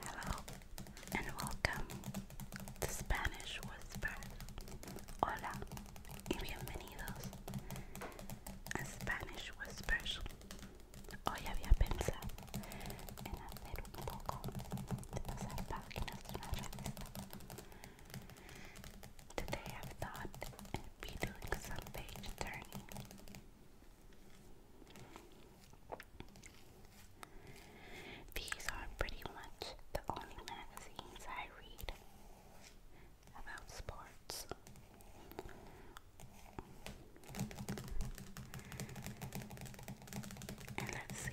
Hello and welcome to Spanish Whispers. Hola y bienvenidos a Spanish Whispers. Hoy había pensado en hacer un poco de pasar páginas de una revista Today I've thought be doing some page turning. These are pretty much the only magazines I read about sports. And let's see.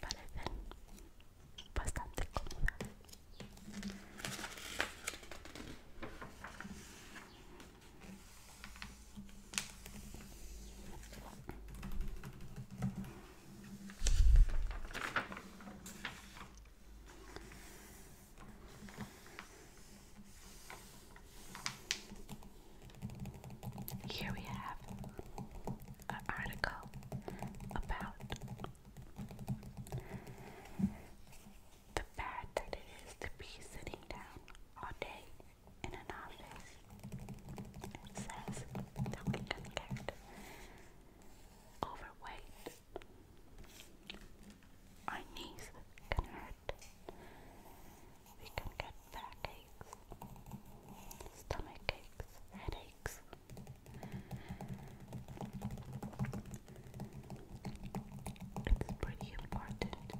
parecen bastante Here we have an article about the bad that it is to be sitting down all day in an office. It says that we can get overweight. Our knees can hurt. We can get backaches stomach aches, headaches. It's pretty important to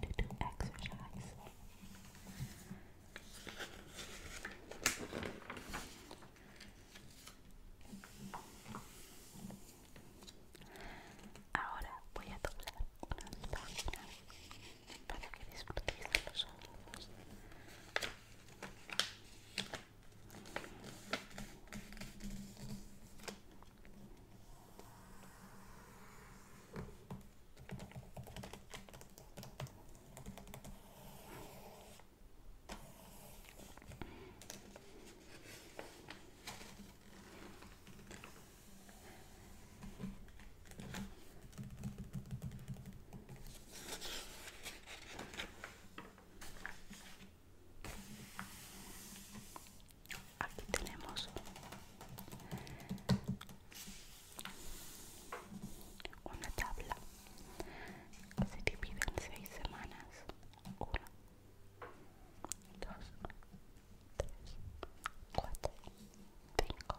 do exercise. Ahora voy a doblar unas páginas para que disfruten de los ojos. Aquí tenemos una tabla que se divide en seis semanas. dos, cuatro, cinco.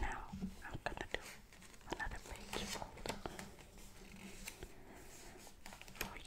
Now I'm gonna do another page fold for you.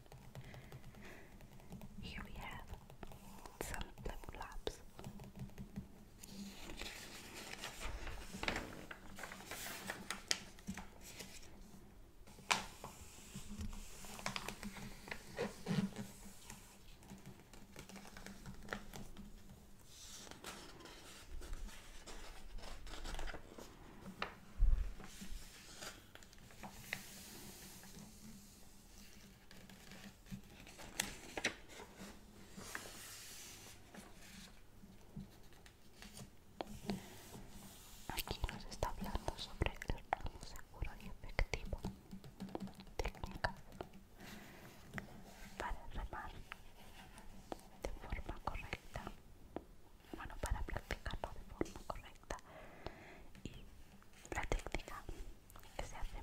Here we have some flip flops. Aquí nos está hablando sobre el seguro y efectivo, técnicas para remar de forma correcta bueno, para practicarlo de forma correcta y la técnica que se hace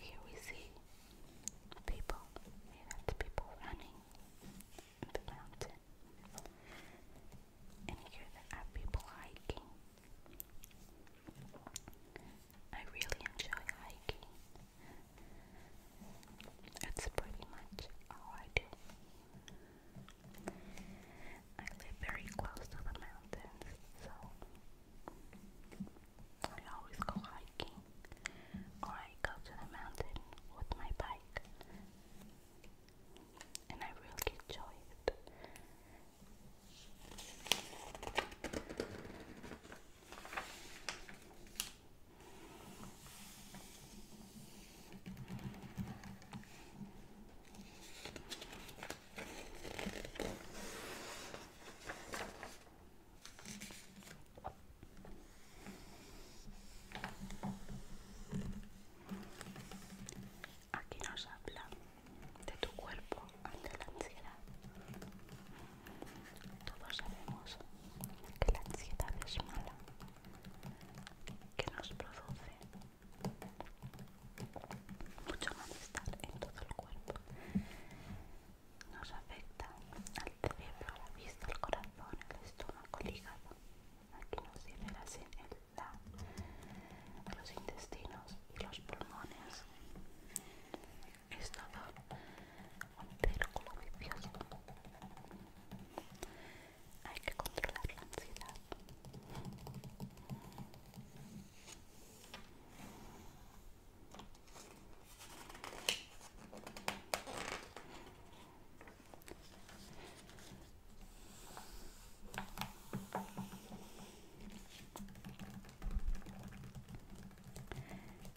Here we see people, people running and hear the people hiking. I really enjoy hiking. That's pretty much all I do. I live very close to the mountains, so I always go hiking or I go to the mountain with my bike and I really enjoy it. Aquí nos habla de tu cuerpo ante la ansiedad. Todos sabemos que la ansiedad es mala, que nos produce mucho malestar en todo el cuerpo. Nos afecta al cerebro, a la vista, al corazón, al estómago, al hígado aquí nos sirven así el, los intestinos y los pulmones es todo un círculo vivioso, hay que controlar la ansiedad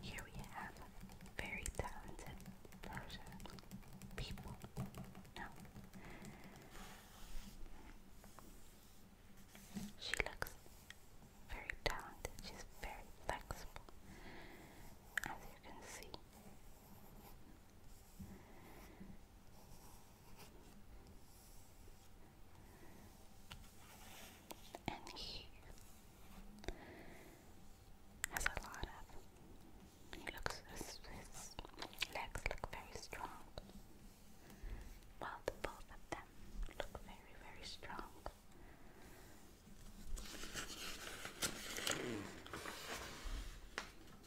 Here we have very talented person people. No. She looks very talented. She's very flexible, as you can see. And he has a lot of. His, legs look very strong. Well, both of them look very, very strong.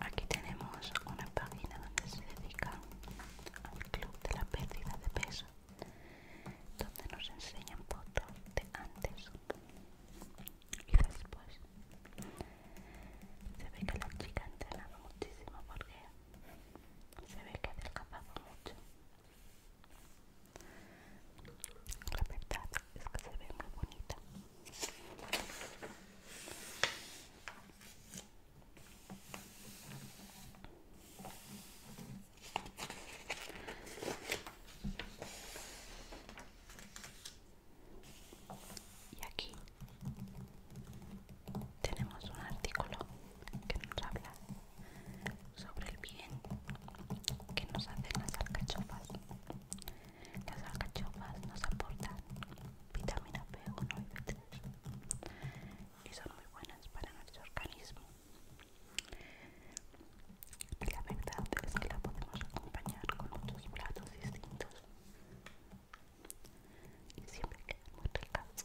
Aquí tenemos una página donde se dedica al club de la pérdida de peso donde nos enseñan fotos de antes y después. Se ve que la chica ha muchísimo porque se ve que ha mucho. La verdad es que se ve muy bonita. Y aquí tenemos un artículo que nos habla sobre el bien que nos hacen las alcachofas. Las alcachofas nos aportan vitamina B1 y B3 y son muy buenas para nuestro organismo la verdad es que la podemos acompañar con muchos platos distintos y siempre queda muy ricas.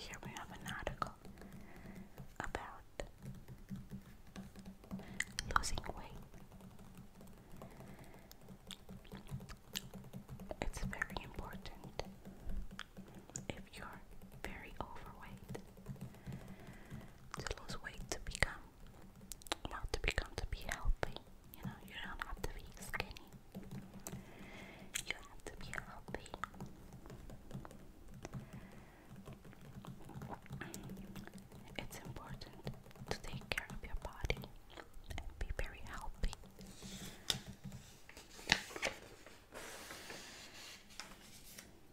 Here we have an article about losing weight. It's very important if you're very overweight to lose weight to become well to become to be healthy. You know, you don't have to be skinny. You have to be healthy. It's important to take care of your body and be very healthy.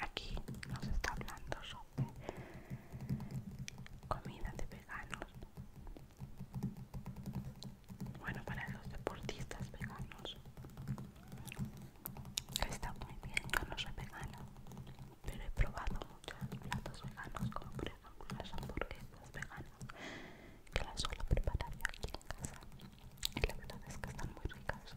aquí nos está hablando sobre comida de veganos bueno para los deportistas veganos está muy bien yo no soy vegana pero he probado muchos platos veganos como por ejemplo las hamburguesas veganas que las suelo preparar yo aquí en casa y la verdad es que están muy ricas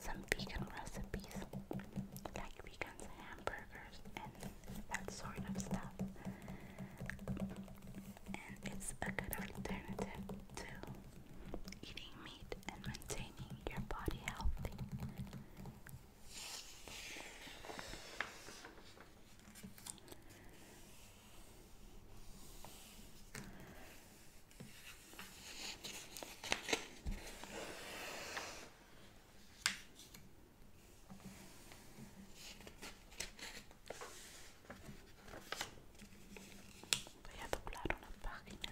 some vegan recipes, like vegan hamburgers and that sort of stuff. And it's a good alternative to eating meat and maintaining your body healthy. Voy a doblar una página.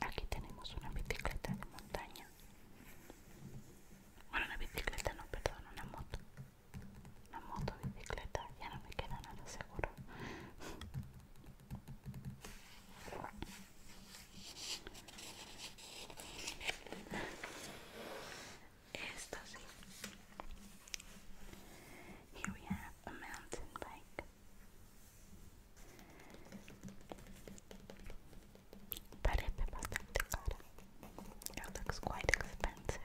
Aquí tenemos una bicicleta de montaña bueno, una bicicleta no, perdón, una moto. Una moto, bicicleta, ya no me queda nada seguro. Esto sí. Here we have a mountain bike. Parebbe abbastanza cara. It looks quite expensive.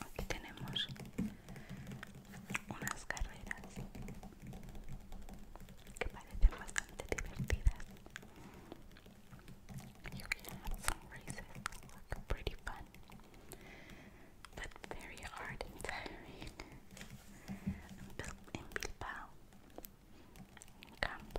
Aquí tenemos unas carreras que parecen bastante divertidas. some races that pretty fun, but very hard and tiring. In camp,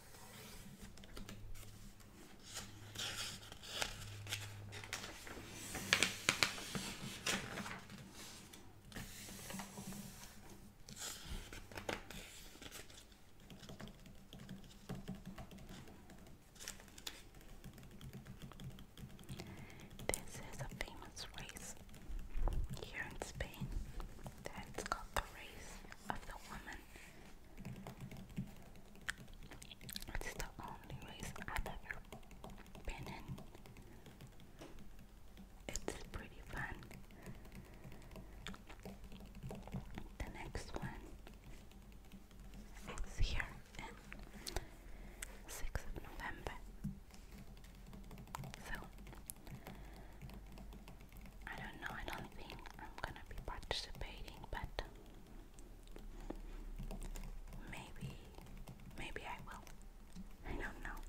This is a famous race here in Spain that's called the Race of the Woman. It's the only race I've ever It's pretty fun. The next one is here in of November. So I don't know, I don't think I'm gonna be participating, but maybe, maybe I will. I don't know.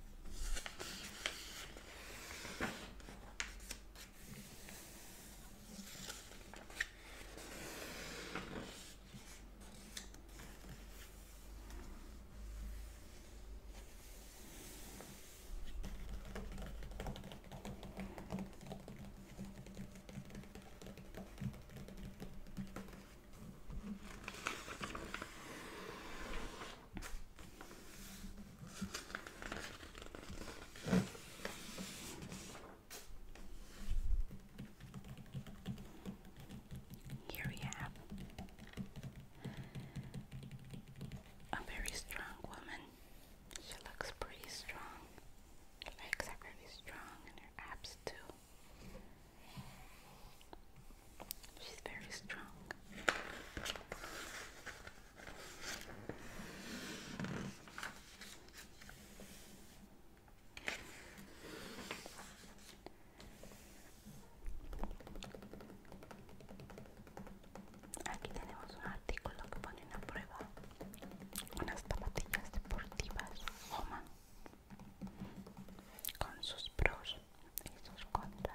Here we have a very strong woman she looks pretty strong. Her legs are pretty strong and her abs too. She's very strong. Aquí tenemos un artículo que pone a prueba. Unas zapatillas deportivas Oma con sus pros y sus contras.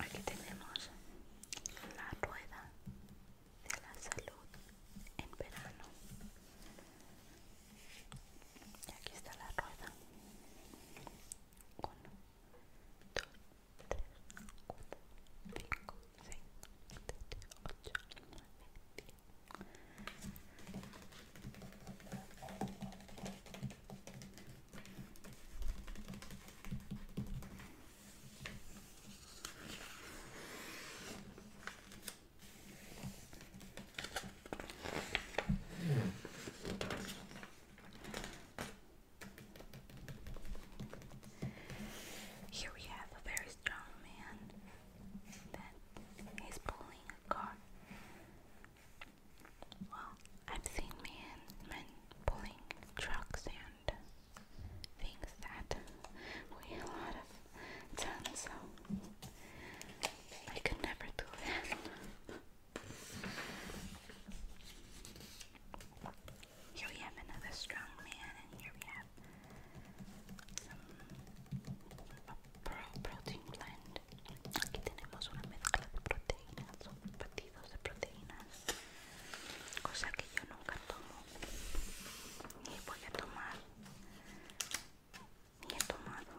Aquí tenemos la rueda de la salud en verano. aquí está la rueda. Here we have a very strong man that is pulling a car well, I've seen men, men pulling trucks and things that weigh a lot of tons, so I could never do that. Here we have another strong man, and here we have some protein blend. Aquí tenemos una mezcla de proteínas, son batidos de proteínas, cosa que yo nunca tomo. ni voy a tomar, ni he tomado.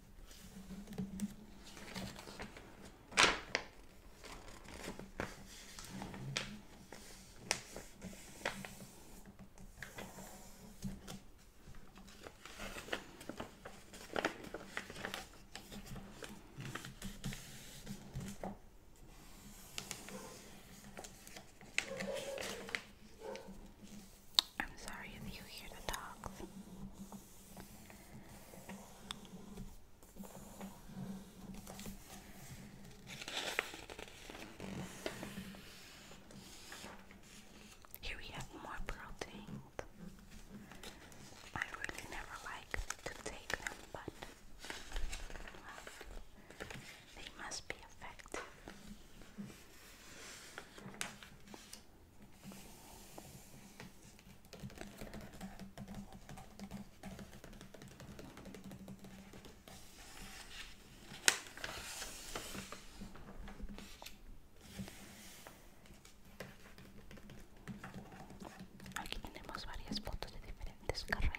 I'm sorry if you hear the dogs. Here we have more protein. I really never like to take them, but they must be effective. Aquí tenemos varias fotos de diferentes carreras.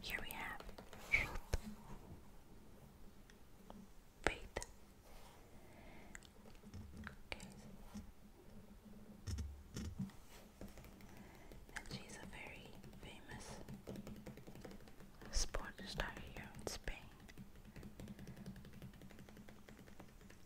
Here we have truth, faith. Okay. And she's a very famous sport star here in Spain.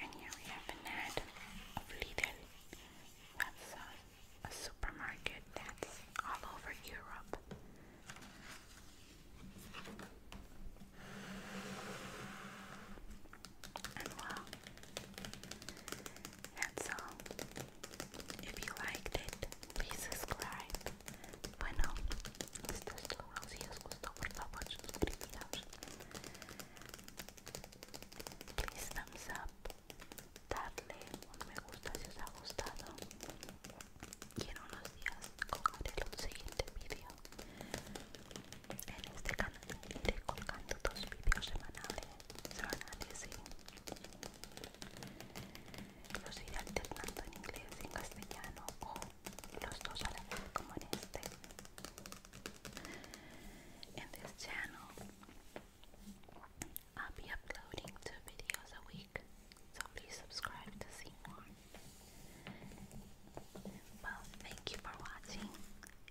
And here we have an ad of Lidl. a, supermarket that's all over Europe. And wow, that's all. If you liked it, please subscribe. Bueno, esto es todo. Si os gustó, por favor, suscribiros. Please thumbs up. Darle un me gusta si os ha gustado. Y en unos días colgaré un siguiente vídeo. En este canal iré colgando dos vídeos semanales. Semanales, sí. In this channel, I'll be uploading two videos a week, so please subscribe to see more. Well, thank you for watching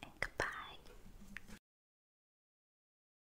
and goodbye.